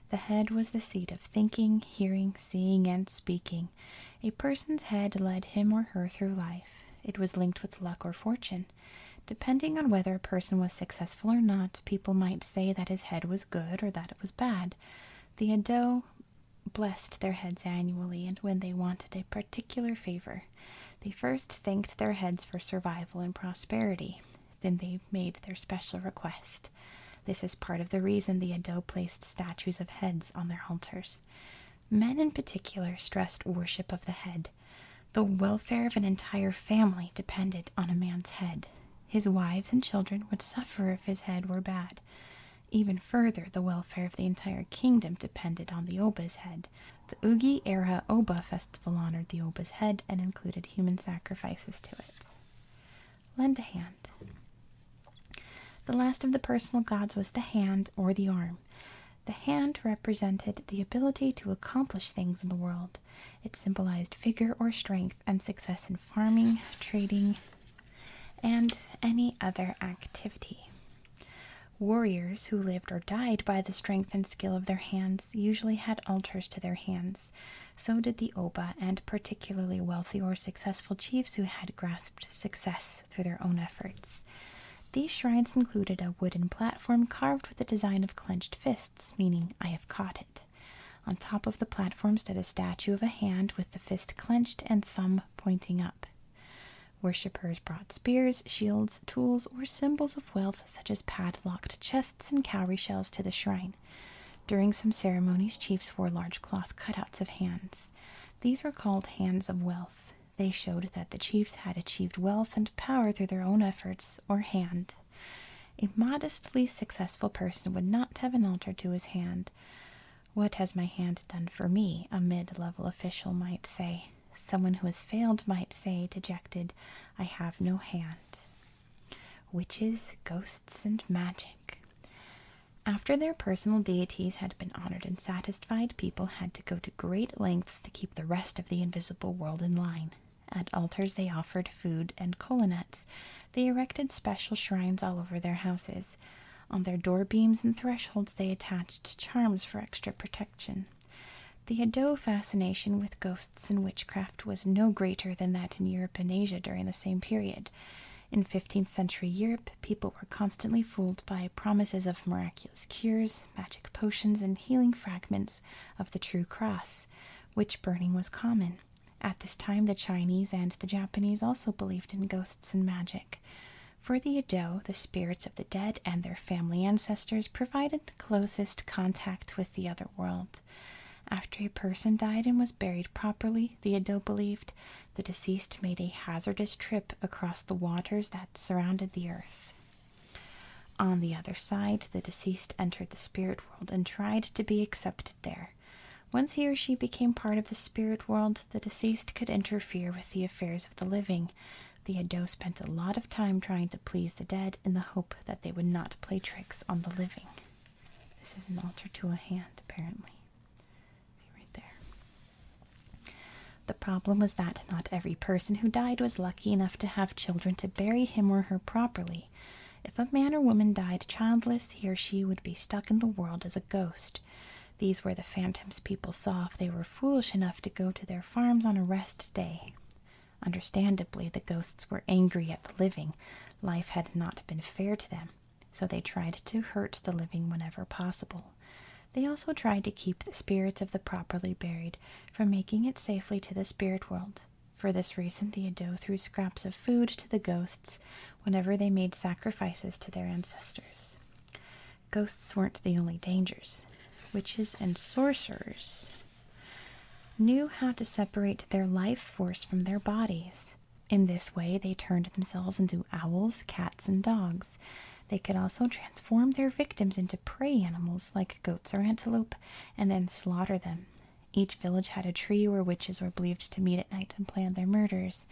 Speaker 1: The head was the seat of thinking, hearing, seeing, and speaking. A person's head led him or her through life. It was linked with luck or fortune. Depending on whether a person was successful or not, people might say that his head was good or that it was bad. The Edo blessed their heads annually, and when they wanted a particular favor, they first thanked their heads for survival and prosperity. Then they made their special request. This is part of the reason the Edo placed statues of heads on their altars. Men in particular stressed worship of the head the welfare of an entire family depended on a man's head. His wives and children would suffer if his head were bad. Even further, the welfare of the entire kingdom depended on the Oba's head. The Ugi era Oba festival honored the Oba's head and included human sacrifices to it. Lend a hand. The last of the personal gods was the hand or the arm. The hand represented the ability to accomplish things in the world. It symbolized vigor or strength and success in farming, trading, and any other activity. Warriors who lived or died by the strength and skill of their hands usually had altars to their hands. So did the Oba and particularly wealthy or successful chiefs who had grasped success through their own efforts. These shrines included a wooden platform carved with the design of clenched fists meaning I have caught it. On top of the platform stood a statue of a hand with the fist clenched and thumb pointing up. Worshippers brought spears, shields, tools, or symbols of wealth, such as padlocked chests and cowrie shells, to the shrine. During some ceremonies, chiefs wore large cloth cutouts of hands. These were called hands of wealth. They showed that the chiefs had achieved wealth and power through their own efforts or hand. A modestly successful person would not have an altar to his hand. What has my hand done for me? A mid level official might say. Someone who has failed might say, dejected, I have no hand. Witches, ghosts, and magic. After their personal deities had been honored and satisfied, people had to go to great lengths to keep the rest of the invisible world in line. At altars, they offered food and kola They erected special shrines all over their houses. On their door beams and thresholds, they attached charms for extra protection. The Edo fascination with ghosts and witchcraft was no greater than that in Europe and Asia during the same period. In 15th century Europe, people were constantly fooled by promises of miraculous cures, magic potions, and healing fragments of the true cross, witch burning was common. At this time, the Chinese and the Japanese also believed in ghosts and magic. For the Edo, the spirits of the dead and their family ancestors provided the closest contact with the other world. After a person died and was buried properly, the Edo believed the deceased made a hazardous trip across the waters that surrounded the earth. On the other side, the deceased entered the spirit world and tried to be accepted there. Once he or she became part of the spirit world, the deceased could interfere with the affairs of the living. The Theodo spent a lot of time trying to please the dead in the hope that they would not play tricks on the living. This is an altar to a hand, apparently. See right there. The problem was that not every person who died was lucky lucky enough to have children to bury him or her properly. If a man or woman died childless, he or she would be stuck in the world as a ghost. These were the phantoms people saw if they were foolish enough to go to their farms on a rest day. Understandably, the ghosts were angry at the living. Life had not been fair to them, so they tried to hurt the living whenever possible. They also tried to keep the spirits of the properly buried from making it safely to the spirit world. For this reason, the Edo threw scraps of food to the ghosts whenever they made sacrifices to their ancestors. Ghosts weren't the only dangers. Witches and sorcerers knew how to separate their life force from their bodies. In this way, they turned themselves into owls, cats, and dogs. They could also transform their victims into prey animals like goats or antelope, and then slaughter them. Each village had a tree where witches were believed to meet at night and plan their murders.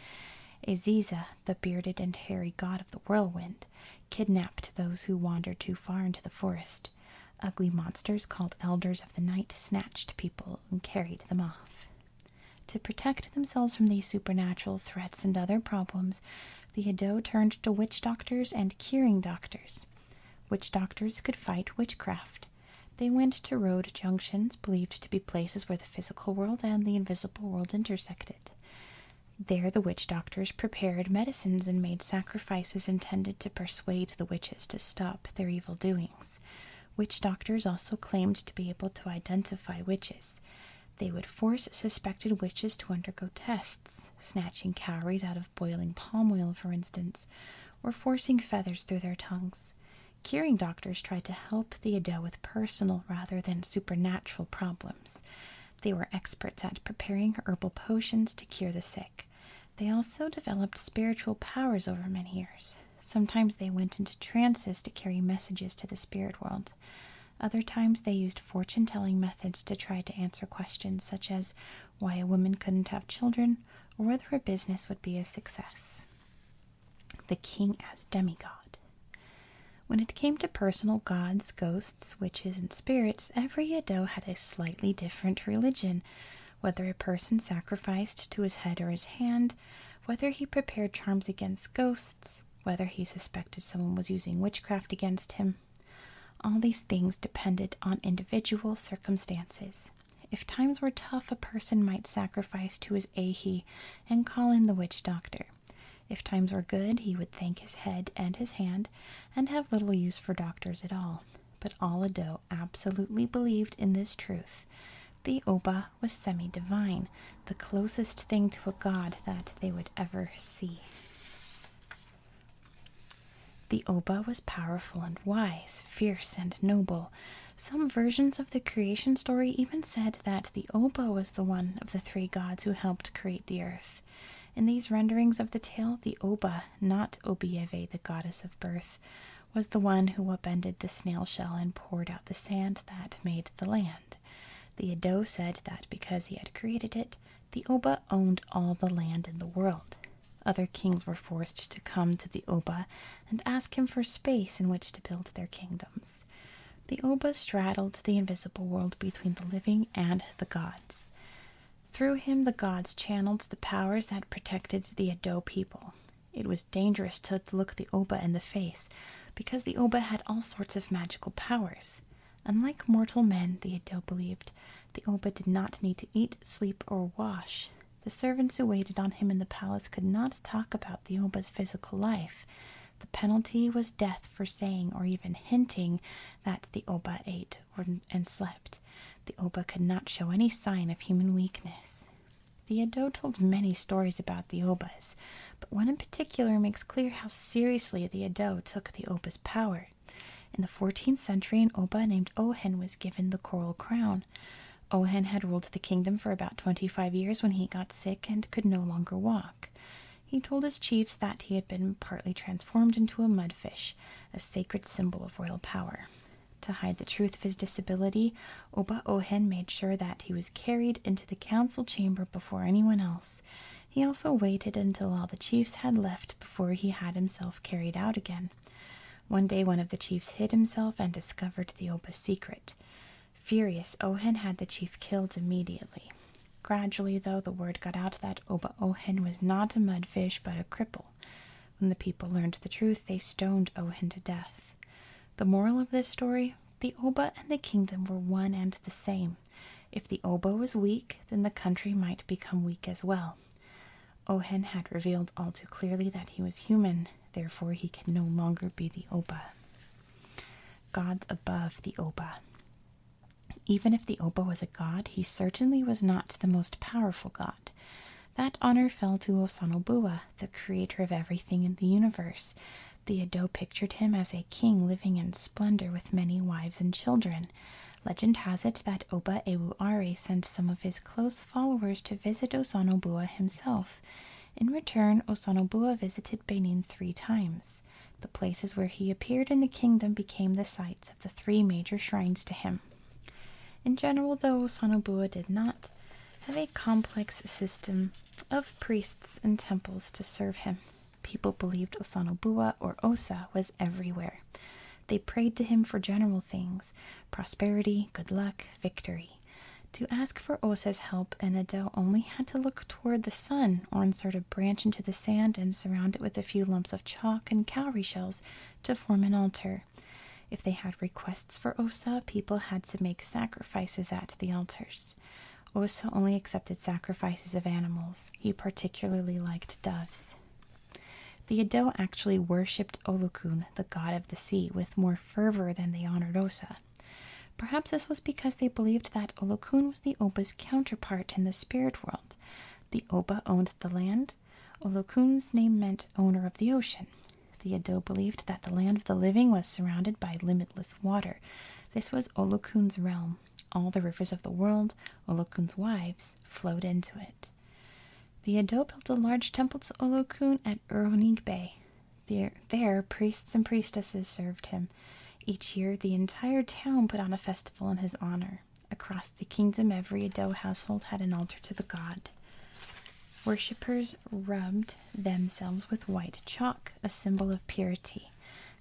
Speaker 1: Aziza, the bearded and hairy god of the whirlwind, kidnapped those who wandered too far into the forest. Ugly monsters called elders of the night snatched people and carried them off. To protect themselves from these supernatural threats and other problems, the Edo turned to witch doctors and curing doctors. Witch doctors could fight witchcraft. They went to road junctions believed to be places where the physical world and the invisible world intersected. There, the witch doctors prepared medicines and made sacrifices intended to persuade the witches to stop their evil doings. Witch doctors also claimed to be able to identify witches. They would force suspected witches to undergo tests, snatching calories out of boiling palm oil, for instance, or forcing feathers through their tongues. Curing doctors tried to help Theodo with personal rather than supernatural problems. They were experts at preparing herbal potions to cure the sick. They also developed spiritual powers over many years. Sometimes they went into trances to carry messages to the spirit world. Other times they used fortune telling methods to try to answer questions such as why a woman couldn't have children, or whether her business would be a success. The king as demigod. When it came to personal gods, ghosts, witches, and spirits, every Edo had a slightly different religion. Whether a person sacrificed to his head or his hand, whether he prepared charms against ghosts, whether he suspected someone was using witchcraft against him. All these things depended on individual circumstances. If times were tough, a person might sacrifice to his ahi and call in the witch doctor. If times were good, he would thank his head and his hand and have little use for doctors at all. But Allado absolutely believed in this truth. The Oba was semi divine, the closest thing to a god that they would ever see. The Oba was powerful and wise, fierce and noble. Some versions of the creation story even said that the Oba was the one of the three gods who helped create the earth. In these renderings of the tale, the Oba, not Obieve, the goddess of birth, was the one who upended the snail shell and poured out the sand that made the land. The Edo said that because he had created it, the Oba owned all the land in the world. Other kings were forced to come to the Oba and ask him for space in which to build their kingdoms. The Oba straddled the invisible world between the living and the gods. Through him, the gods channeled the powers that protected the Edo people. It was dangerous to look the Oba in the face because the Oba had all sorts of magical powers. Unlike mortal men, the Edo believed, the Oba did not need to eat, sleep, or wash. The servants who waited on him in the palace could not talk about the Oba's physical life. The penalty was death for saying or even hinting that the Oba ate and slept. The Oba could not show any sign of human weakness. The Ado told many stories about the Obas, but one in particular makes clear how seriously the Ado took the Oba's power. In the 14th century, an Oba named Ohen was given the coral crown. Ohen had ruled the kingdom for about 25 years when he got sick and could no longer walk. He told his chiefs that he had been partly transformed into a mudfish, a sacred symbol of royal power. To hide the truth of his disability, Oba Ohen made sure that he was carried into the council chamber before anyone else. He also waited until all the chiefs had left before he had himself carried out again. One day one of the chiefs hid himself and discovered the Oba's secret. Furious, Ohen had the chief killed immediately. Gradually, though, the word got out that Oba Ohen was not a mudfish but a cripple. When the people learned the truth, they stoned Ohen to death. The moral of this story the Oba and the kingdom were one and the same. If the Oba was weak, then the country might become weak as well. Ohen had revealed all too clearly that he was human, therefore, he could no longer be the Oba. Gods above the Oba. Even if the Oba was a god, he certainly was not the most powerful god. That honor fell to Osanobua, the creator of everything in the universe. The Edo pictured him as a king living in splendor with many wives and children. Legend has it that Oba Ewuare sent some of his close followers to visit Osanobua himself. In return, Osanobua visited Benin three times. The places where he appeared in the kingdom became the sites of the three major shrines to him. In general, though, Osanobua did not have a complex system of priests and temples to serve him. People believed Osanobua or Osa was everywhere. They prayed to him for general things prosperity, good luck, victory. To ask for Osa's help, And Enado only had to look toward the sun or insert a branch into the sand and surround it with a few lumps of chalk and cowrie shells to form an altar. If they had requests for Osa, people had to make sacrifices at the altars. Osa only accepted sacrifices of animals. He particularly liked doves. The Edo actually worshipped Olukun, the god of the sea, with more fervor than they honored Osa. Perhaps this was because they believed that Olukun was the Oba's counterpart in the spirit world. The Oba owned the land. Olukun's name meant owner of the ocean. The Edo believed that the land of the living was surrounded by limitless water. This was Olukun's realm. All the rivers of the world, Olukun's wives, flowed into it. The Ado built a large temple to Olokun at Uronig Bay. There, priests and priestesses served him. Each year, the entire town put on a festival in his honor. Across the kingdom, every Ado household had an altar to the god. Worshippers rubbed themselves with white chalk, a symbol of purity.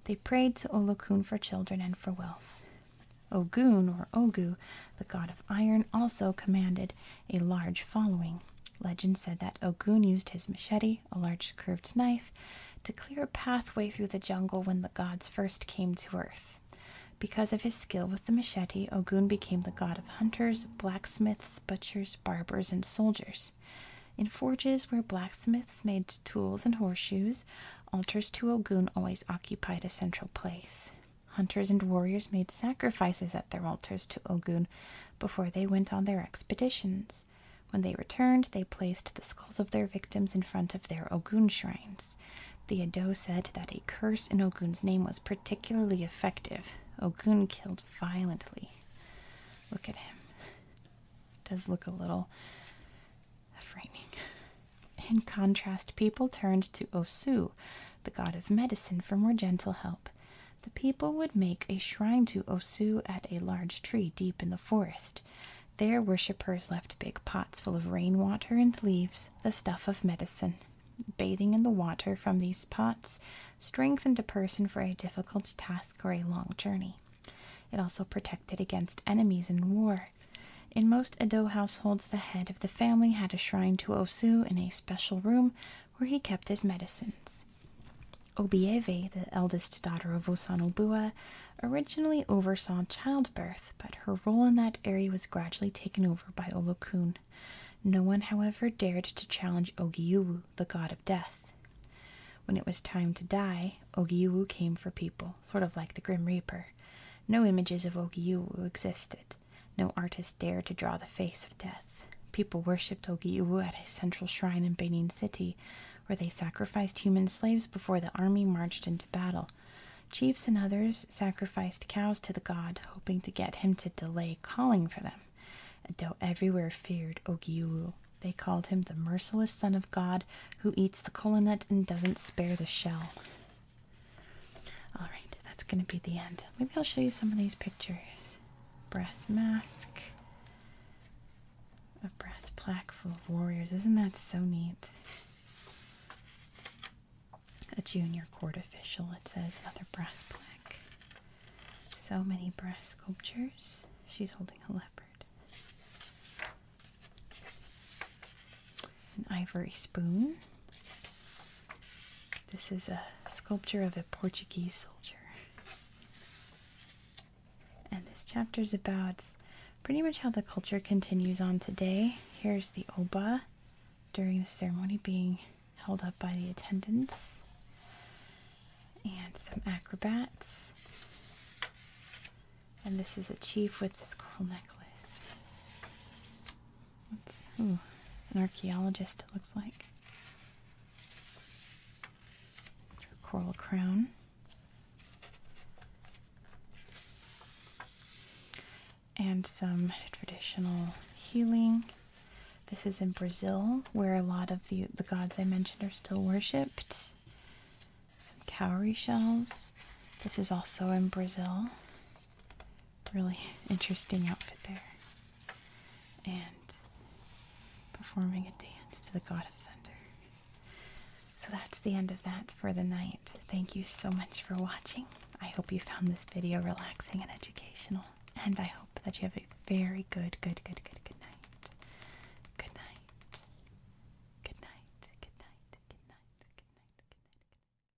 Speaker 1: They prayed to Olokun for children and for wealth. Ogun or Ogu, the god of iron, also commanded a large following. Legend said that Ogun used his machete, a large curved knife, to clear a pathway through the jungle when the gods first came to earth. Because of his skill with the machete, Ogun became the god of hunters, blacksmiths, butchers, barbers, and soldiers. In forges where blacksmiths made tools and horseshoes, altars to Ogun always occupied a central place. Hunters and warriors made sacrifices at their altars to Ogun before they went on their expeditions. When they returned, they placed the skulls of their victims in front of their Ogun shrines. The Edo said that a curse in Ogun's name was particularly effective. Ogun killed violently. Look at him. does look a little frightening. In contrast, people turned to Osu, the god of medicine, for more gentle help. The people would make a shrine to Osu at a large tree deep in the forest. Their worshippers left big pots full of rainwater and leaves, the stuff of medicine. Bathing in the water from these pots strengthened a person for a difficult task or a long journey. It also protected against enemies in war. In most Edo households, the head of the family had a shrine to Osu in a special room where he kept his medicines. Obieve, the eldest daughter of Osanobua, originally oversaw childbirth, but her role in that area was gradually taken over by Olokun. No one, however, dared to challenge Ogiuwu, the god of death. When it was time to die, Ogiuwu came for people, sort of like the Grim Reaper. No images of Ogiuwu existed. No artist dared to draw the face of death. People worshipped Ogiu at his central shrine in Benin City, where they sacrificed human slaves before the army marched into battle. Chiefs and others sacrificed cows to the god, hoping to get him to delay calling for them. Edo everywhere feared Ogiu, They called him the merciless son of God who eats the kola nut and doesn't spare the shell. Alright, that's going to be the end. Maybe I'll show you some of these pictures. Brass mask. A brass plaque full of warriors. Isn't that so neat? A junior court official, it says. Another brass plaque. So many brass sculptures. She's holding a leopard an ivory spoon. This is a sculpture of a Portuguese soldier. And this chapter is about pretty much how the culture continues on today. Here's the oba during the ceremony being held up by the attendants, and some acrobats. And this is a chief with this coral necklace. What's, an archaeologist, it looks like. Coral crown. And some traditional healing. This is in Brazil, where a lot of the, the gods I mentioned are still worshipped. Some cowrie shells. This is also in Brazil really interesting outfit there. And performing a dance to the god of thunder. So that's the end of that for the night. Thank you so much for watching. I hope you found this video relaxing and educational. And I hope that you have a very good, good, good, good, good night. Good night. Good night. Good night. Good night. Good night. Good night. Good night.